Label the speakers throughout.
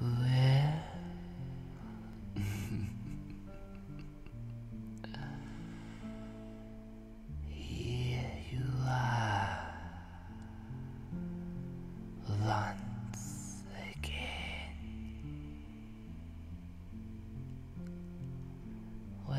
Speaker 1: Where? here you are once again. Well,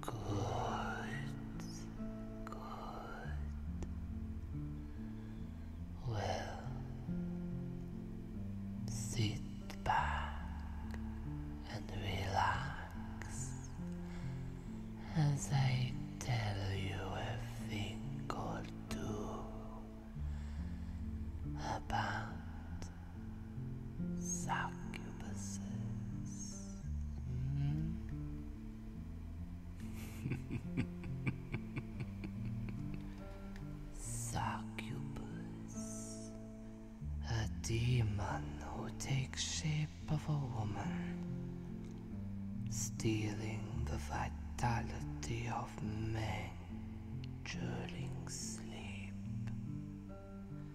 Speaker 1: Good. Good. Well, sit back and relax as I tell you a thing or two about succubuses. Succubus. A demon who takes shape of a woman, stealing the vitality of men during sleep.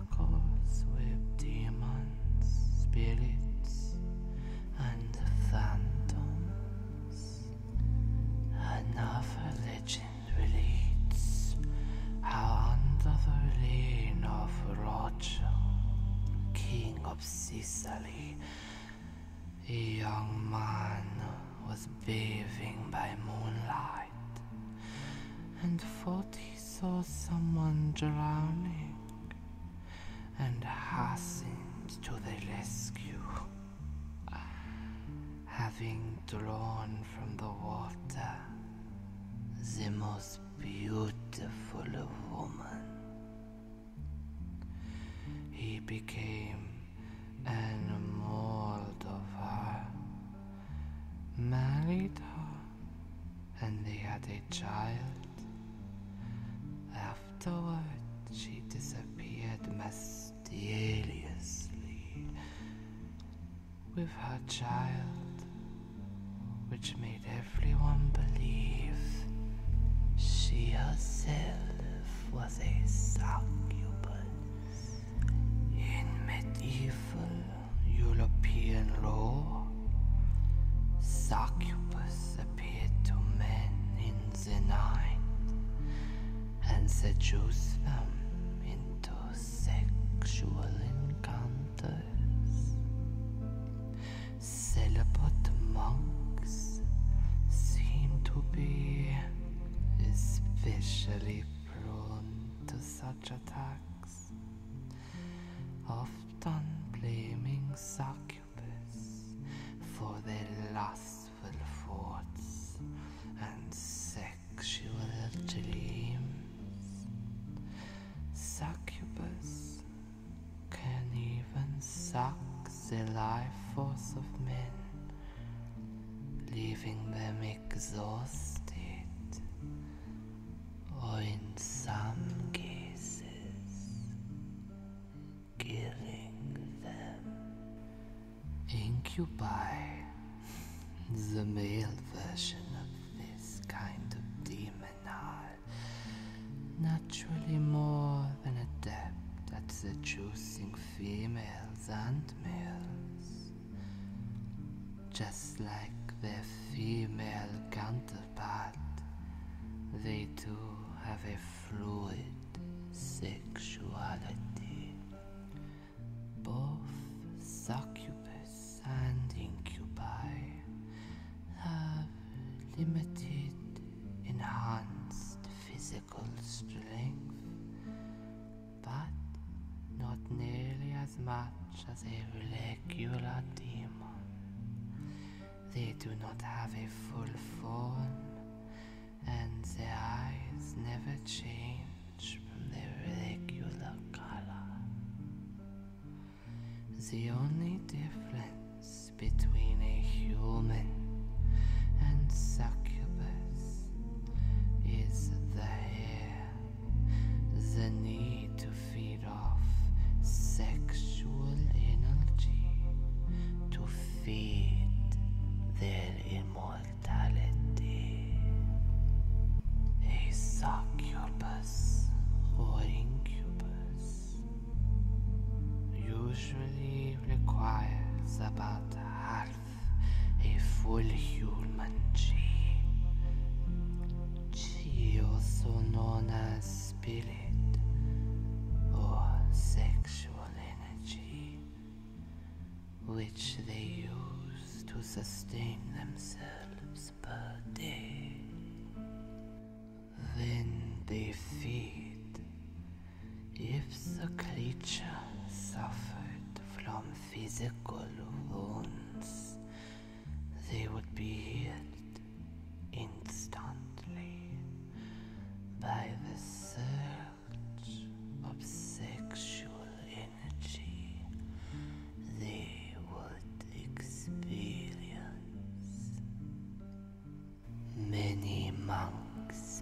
Speaker 1: intercourse with demons, spirits, and phantoms. Enough religion relates how under the reign of Roger, king of Sicily, a young man was bathing by moonlight, and forty saw someone drowning and hastened to the rescue. Having drawn from the water the most beautiful of women, he became enamoured of her married her, and they had a child. Afterward, she disappeared mysteriously with her child, which made everyone believe she herself was a succubus in medieval European law, succubus appeared to men in the night and seduced them into sexual encounters. Celibate monks seem to be especially prone to such attacks often blaming succubus for their lustful thoughts and sexual dreams. Succubus can even suck the life force of men leaving them exhausted, or in some cases, killing them. Incubate. the male version of this kind of demon, are naturally more than adept at seducing females and males. Just like their female counterpart, they too have a fluid sexuality. Both succubus and incubi have limited enhanced physical strength but not nearly as much as a regular demon. They do not have a full form, and their eyes never change from their regular color. The only difference between a human and succubus is the hair, the need to feed off sexual energy, to feed their immortality. A succubus or incubus usually requires about half a full human chi. Chi, also known as spirit or sexual energy, which they use to sustain themselves per day. Then they feed if the creature suffered from physical wounds, they would be healed instantly by the surge of sexual energy they would experience. Many monks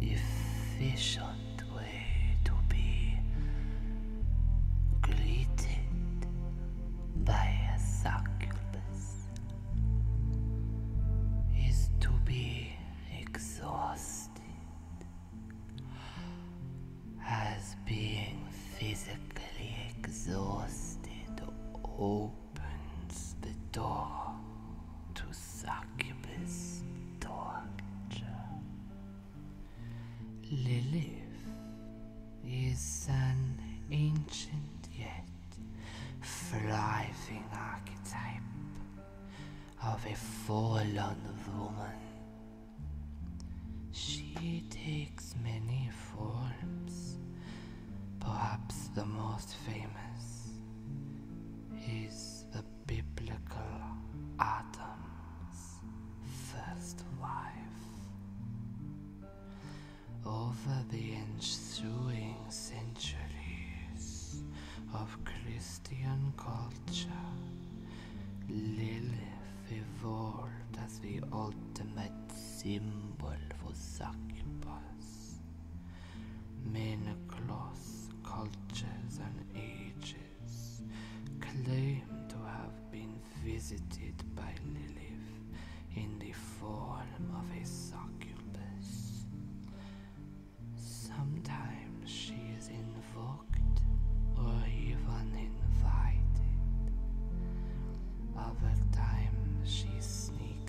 Speaker 1: efficient way to be greeted by a succubus is to be exhausted as being physically exhausted opens the door to succubus torture. Lilith is an ancient yet thriving archetype of a fallen woman. She takes many forms, perhaps the most most famous is the biblical Adam's first wife. Over the ensuing centuries of Christian culture, Lilith evolved as the ultimate symbol of succubus nations, men across cultures and ages claim to have been visited by Lilith in the form of a succubus. Sometimes she is invoked or even invited. Other times she sneaks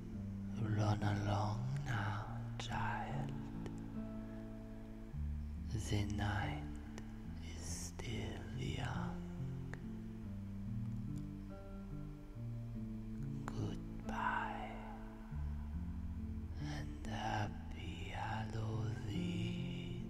Speaker 1: Run along now, child. The night is still young. Goodbye and happy Halloween.